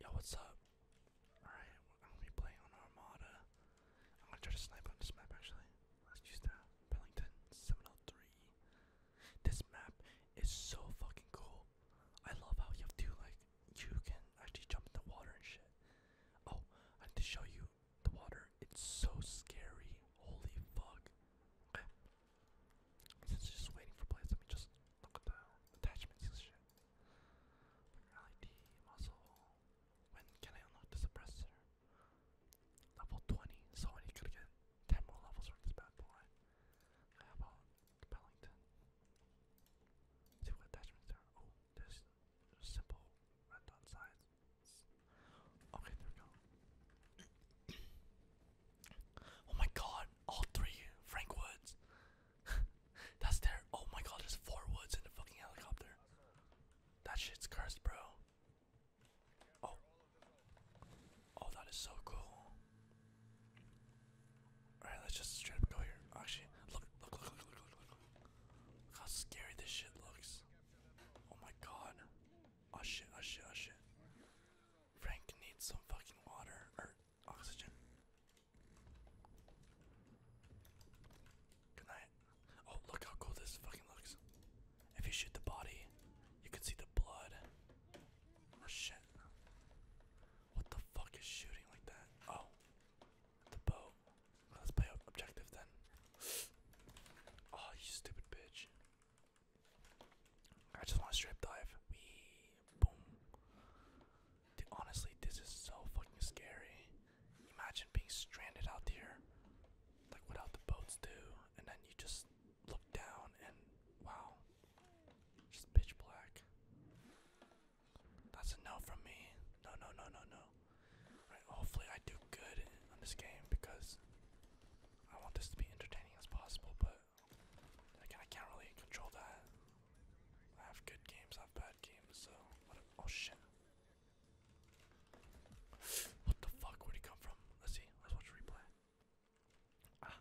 Yo, what's up? Alright, I'm gonna be playing on Armada. I'm gonna try to snipe on this map actually. Let's use that. Bellington 703. This map is so fucking cool. I love how you have to, like, you can actually jump in the water and shit. Oh, I need to show you the water. It's so scary. Holy fuck. Okay. just waiting for plays, let me just look at the attachments and shit. Reality muscle. When can I unlock the suppressor? Level 20, so I could get 10 more levels from this bad boy. How about Pellington? See what attachments are. Oh, there's, there's simple red dot sides. Okay, there we go. oh my god, all three Frank Woods. That's there. Oh my god, there's four woods in the fucking helicopter. That shit's cursed, bro. Oh. Oh, that is so cool. Alright, let's just straight up go here. Actually, look, look, look, look, look, look, look. Look how scary this shit looks. Oh my god. Oh shit, oh shit, oh shit. Frank needs some fucking water or oxygen. Good night. Oh, look how cool this fucking looks. If you shoot the body, you can see the blood. Oh shit. What the fuck is shooting like that? Oh, the boat. Let's play objective then. Oh, you stupid bitch. I just want to strip dive. We boom. Honestly, this is so fucking scary. Imagine being stranded out here, like without the boats do, and then you just look down and wow, just pitch black. That's a no from me. No, no, no, no, no. Right, hopefully I do good on this game because I want this to be entertaining as possible, but I can't really control that. I have good games, I have bad games, so oh shit! What the fuck? Where'd he come from? Let's see. Let's watch replay. Ah,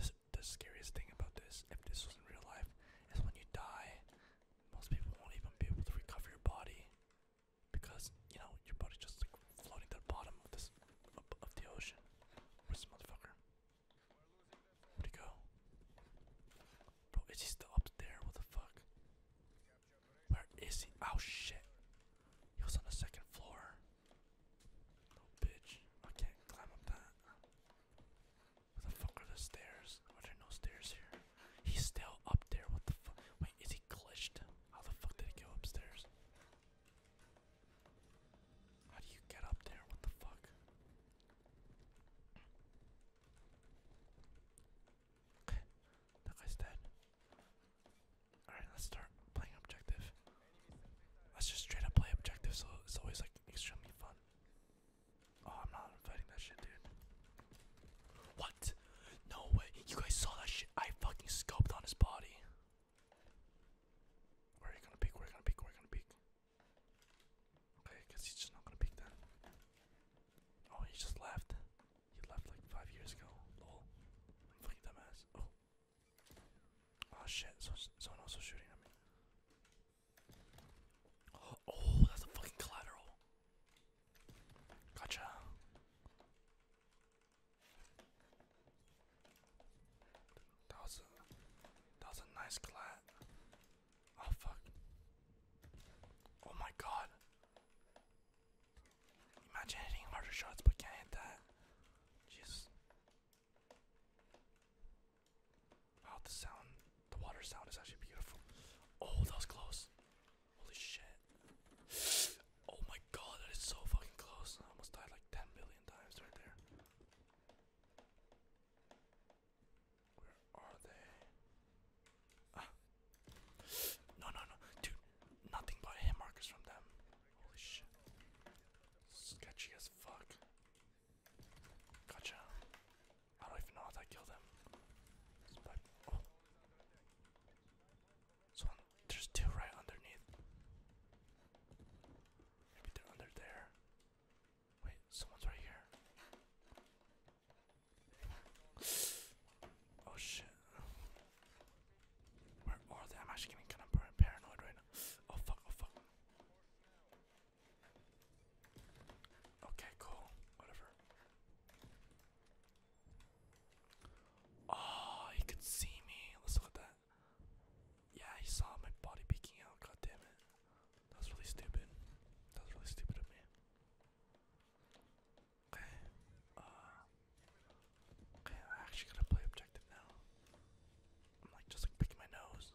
this the scariest thing about this, if this was in real life, is when you die, most people won't even be able to recover your body because you know your body's just floating to the bottom of this of the ocean. Where's this motherfucker? Where'd he go? Bro, is he still up there? What the fuck? Where is he? Oh shit. He was on the second floor. Oh bitch. I can't climb up that. Where the fuck are the stairs? Are there no stairs here? He's still up there. What the fuck? Wait, is he glitched? How the fuck did he go upstairs? How do you get up there? What the fuck? Okay, that guy's dead. Alright, let's start playing objective. Let's just straight up play objective so it's always like extremely fun. Oh, I'm not inviting that shit, dude. What? No way. You guys saw that shit. I fucking scoped on his body. Where are gonna peek? Where are gonna peek? Where are gonna peek? Okay, I he's just not gonna pick that. Oh, he just left. He left like five years ago. Lol. fucking dumbass. Oh. Oh shit, someone also shooting at me. oh, that's a fucking collateral. Gotcha. That was a that was a nice clat. Oh fuck. Oh my god. Imagine hitting harder shots but can't hit that. Jesus. Wow, the sound, the water sound is actually beautiful. Oh, that was close. Holy shit. Oh my god, that is so fucking close. I almost died like 10 billion times right there. Where are they? Ah. No, no, no. Dude, nothing but hit markers from them. Holy shit. Sketchy as fuck. Gotcha. I don't even know how to kill them. But, oh. there's two right underneath. Maybe they're under there. Wait, someone's right here. Oh shit. Where are they? I'm actually getting kind of paranoid right now. Oh fuck, oh fuck. Okay, cool. Whatever. Oh, he could see me. Let's look at that. Yeah, he saw my body peeking out. God damn it. That was really stupid. That was really stupid of me. Okay. Uh, okay, I actually gotta play objective now. I'm like just like picking my nose.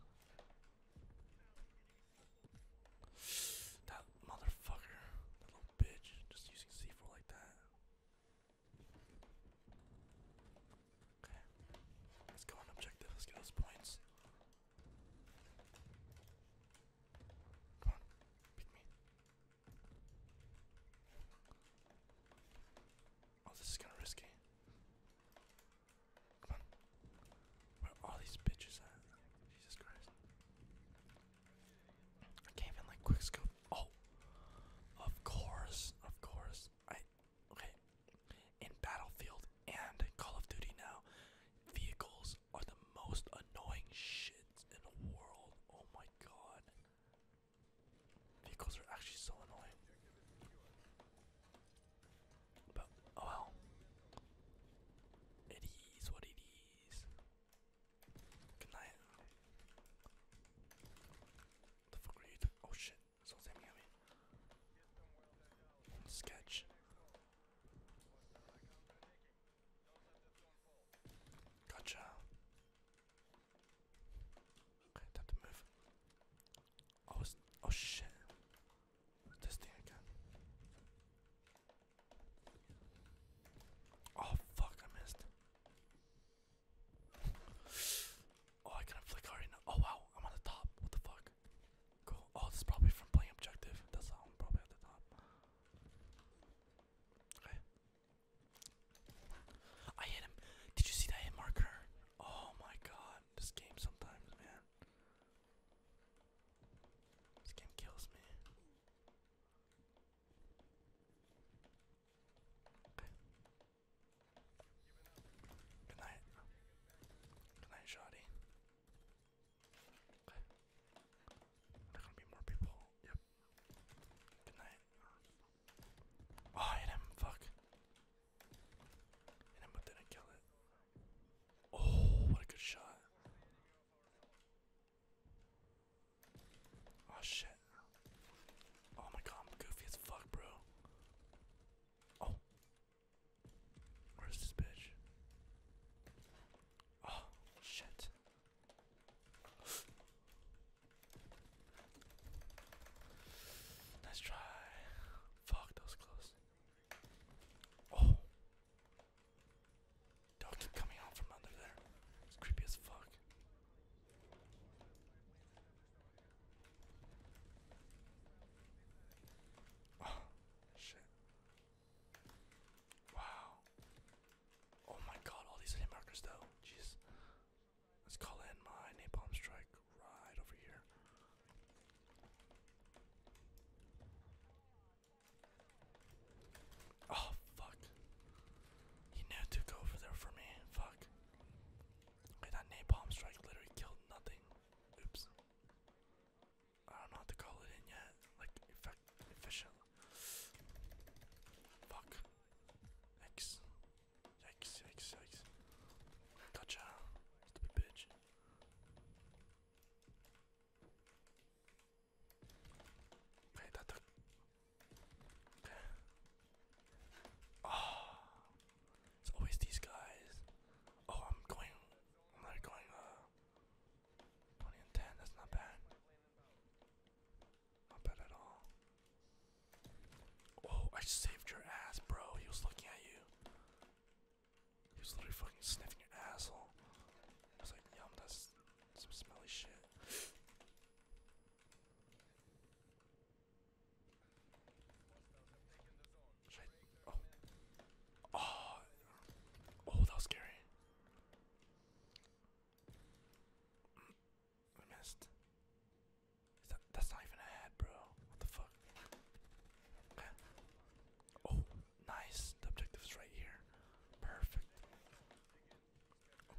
That motherfucker, that little bitch, just using C4 like that. Let's go on objective. Let's get those points. Come on. Pick me. Oh, this is kind of risky. Come on. Where are all these bitches at? Jesus Christ. I can't even like quick Oh, of course, of course. I okay. In Battlefield and Call of Duty now, vehicles are the most annoying shit in the world. Oh my god. Vehicles are actually so annoying. But, oh well. It is what it is. Good night. The fuck are you? Oh shit. Sketch. Gotcha. Okay, time to move. Oh, oh shit. this thing again. Oh fuck, I missed. Oh, I couldn't flick hard enough. Oh wow, I'm on the top. What the fuck? Cool. Oh, this is probably from playing objective. That's how I'm probably at the top. Okay. I hit him. Did you see that hit marker? Oh my god, this game sometimes, man. This game kills me. Good night. Good night, Shoddy. Okay. gonna be more people. Yep. Good night. Oh, hit him. Fuck. Hit him, but didn't kill it. Oh, what a good shot. Oh shit. Oh my god, I'm goofy as fuck, bro. Oh, Where's this bitch? Oh, shit. nice try. Fuck, that was close. Oh. do keep coming out from under there. It's creepy as fuck. Oh, shit. Wow. Oh my god, all these hit markers though. Jeez. Let's call in my napalm strike right over here. Oh fuck. He knew to over there for me. Fuck. Okay, that napalm strike literally killed nothing. Oops. I don't know how to call it in yet. Like efficient. Fuck. X. X. X. X. Gotcha. Stupid bitch. Okay, that took. Okay. Oh, it's always these guys. Oh, I'm going. I'm not going. Uh, twenty and ten. That's not bad. Not bad at all. Oh, I saved your ass, bro. He was looking at you. He was literally fucking sniffing your asshole. I was like, yum, that's some smelly shit oh. Ah. oh, that was scary. Mm. I missed. that's not even a head, bro. What the fuck? Okay. Oh, nice. The objective right here. Perfect.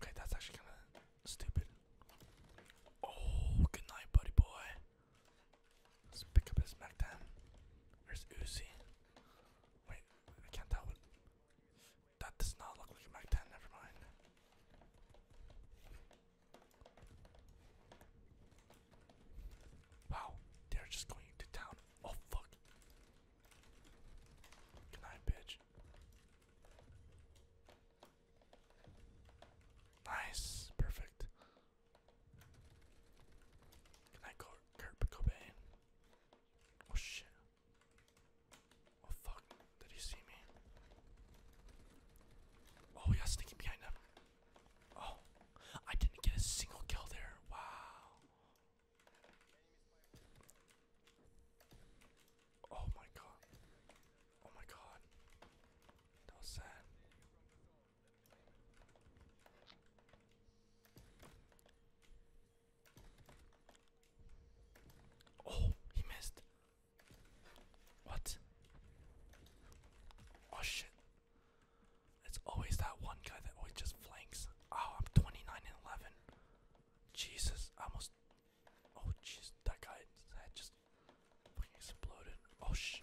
Okay, that's actually kind of stupid. Oh, good night, buddy boy. Let's pick up his Mac 10. Uzi. Wait, I can't tell what. That does not look like a Mac 10, never mind. Wow, they're just going to town. Oh fuck. Good bitch. Nice, perfect. Can I go Kurt Cobain? Oh shit. Oh fuck, did he see me? Oh, we got sneaking behind him. Oh, I didn't get a single kill there. Wow. Oh my god. Oh my god. That was sad. Oh, he missed. What? Oh shit. It's always that one guy that always just flanks. Oh, I'm 29 and 11. Jesus, almost. Oh, jeez, that guy's just exploded. Oh sh.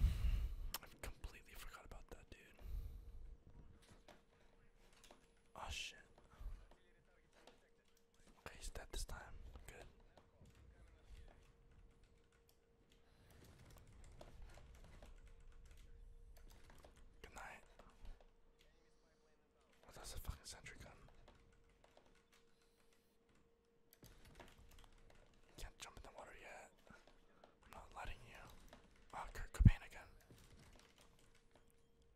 I completely forgot about that, dude. Oh shit. Okay, he's dead this time. Good. Good night. Oh, that's a fucking sentry gun. Can't jump in the water yet. I'm not letting you. Oh, Kurt Cobain again.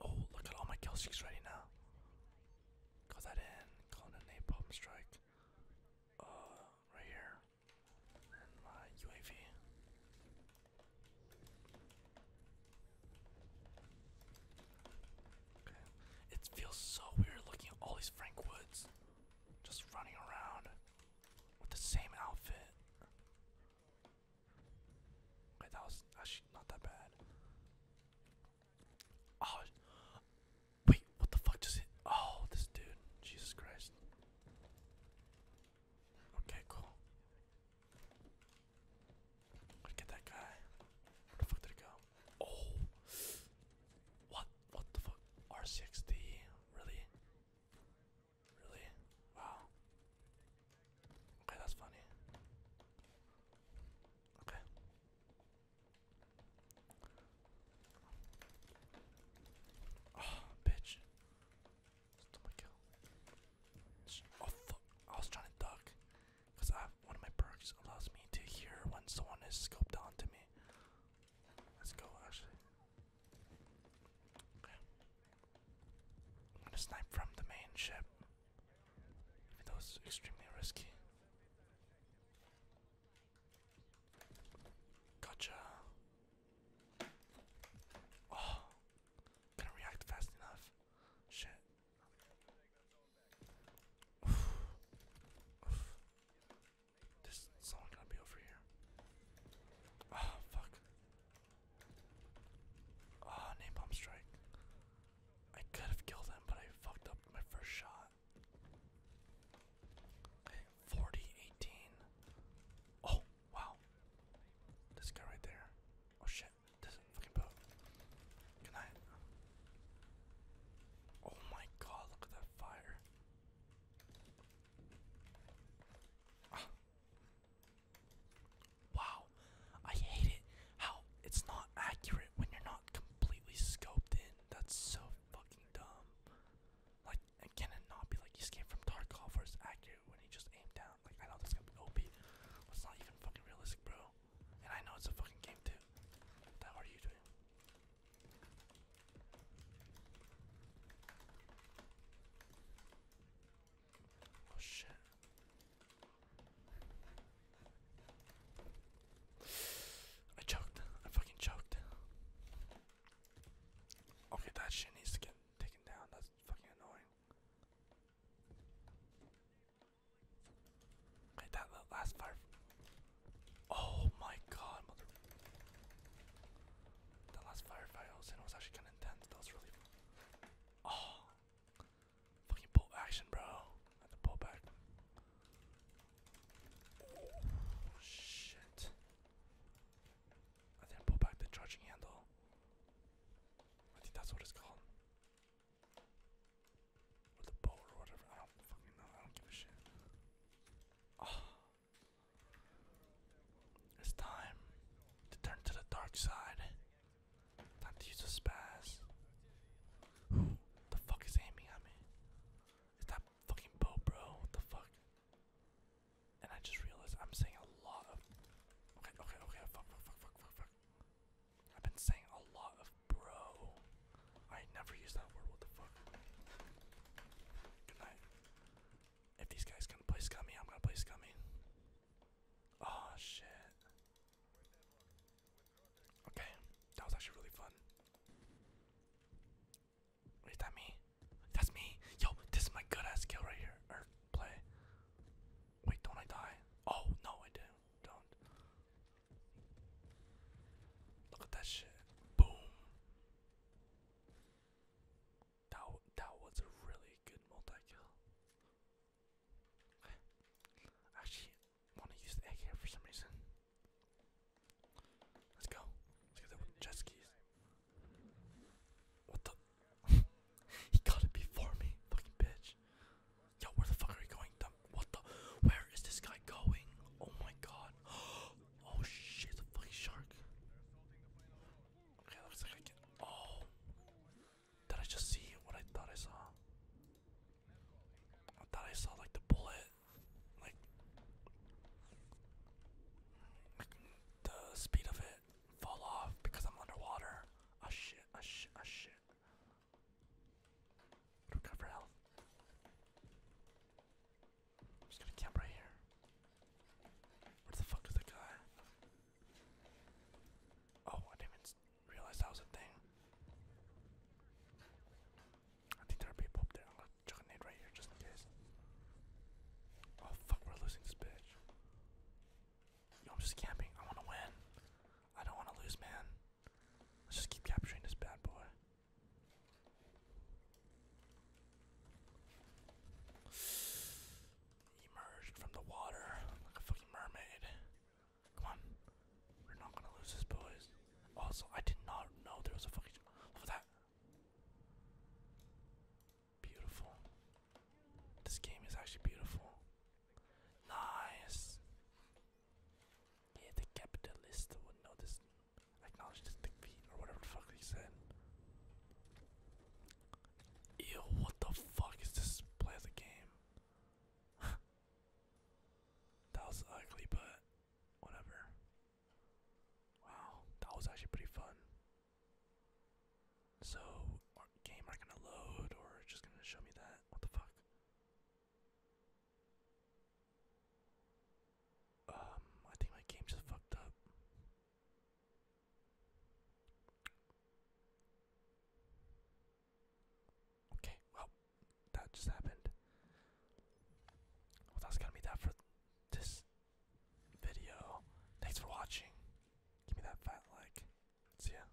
Oh, look at all my kill streaks ready now. Call that in. Call in napalm strike. Uh, right here. my UAV. It feels so weird looking at all these Frank Woods just running around with the same outfit. Okay, that was actually not that bad. Oh, wait, what the fuck just hit? Oh, this dude. Jesus Christ. Okay, cool. Look at that guy. Where the fuck did it go? Oh, what? What the fuck? R60? Really? Really? Wow. Okay, that's funny. Okay. Oh, bitch. Stop my kill. Oh fuck! I was trying to duck. Because I have one of my perks allows me to hear when someone is scoped onto me. Let's go, actually. I'm gonna snipe from the main ship. Even though extremely risky. Gotcha. Oh, couldn't react fast enough. Shit. There's someone gonna be over here. Oh fuck. Oh, name strike. I could have killed him, but I fucked up my first shot. Okay, Oh, wow. This guy right there. Oh shit, this fucking boat. Good night. Oh my god, look at that fire. Ah. Wow, I hate it. How it's not accurate when you're not completely scoped in. That's so fucking dumb. Like, can it not be like you came from Tarkov or it's accurate when he just aimed down? Like, I know that's gonna be OP. It's not even fucking realistic, bro. And I know it's a fucking game too. What are you doing? Oh shit. I choked. I fucking choked. Okay, that shit needs to get taken down. That's fucking annoying that last fire. Oh my god, That last firefight I was actually kind of intense. That was really. Oh. Fucking pull action, bro. had to pull back. Oh, shit. I didn't pull back the charging handle. I think that's what it's called. Ah. It's time to turn to the dark side. Time to use a spaz. Who the fuck is aiming at me? It's that fucking boat, bro. What the fuck? And I just realized I'm saying a lot Okay, okay, okay. Fuck, fuck, fuck, fuck, fuck, fuck. I've been saying a lot of bro. I never use that word, what the fuck? Good night. If these guys can play scummy, I'm gonna play scummy. Oh shit. Okay, that was actually really fun. Wait, is that me? That's me! Yo, this is my good ass kill right here. Or play. Wait, don't I die? Oh, no, I do. not Don't. Look at that shit. Boom. That, that was a really good multi-kill. Actually, I want to use the egg here for some reason. Let's go. Let's get the jet skis. What the? he got it before me, fucking bitch gosh. Yo, where the fuck are you going? The, what the? Where is this guy going? Oh my god. Oh shit, the fucking shark. Okay, looks like I can. Oh. Did I just see what I thought I saw? I thought I saw like the bullet. Like. Like the speed of it fall off because I'm underwater. Ah oh, shit, ah oh, shit, ah oh, shit. I'm just gonna camp right here. Where the fuck is the guy? Oh, I didn't even realize that was a thing. I think there are people up there. I'm gonna chuck a nade right here just in case. Oh fuck, we're losing this bitch. Yo, I'm just camping. I wanna win. I don't wanna lose, man. Let's just keep capturing this bad boy. Emerged from the water like a fucking mermaid. Come on. We're not gonna lose this, boys. Also, I did not know there was a fucking. Look at that. Beautiful. This game is actually beautiful. Nice. Yeah, the capitalist would notice, acknowledge this defeat, or whatever the fuck they said. Ew, what the fuck is this play the game? that was ugly, but whatever. Wow, that was actually pretty fun. So, game not gonna load, or just gonna show me that? What the fuck? Um, I think my game just fucked up. Okay, well, that just happened. Well, that's gonna be that for this video. Thanks for watching. Give me that fat like. See ya.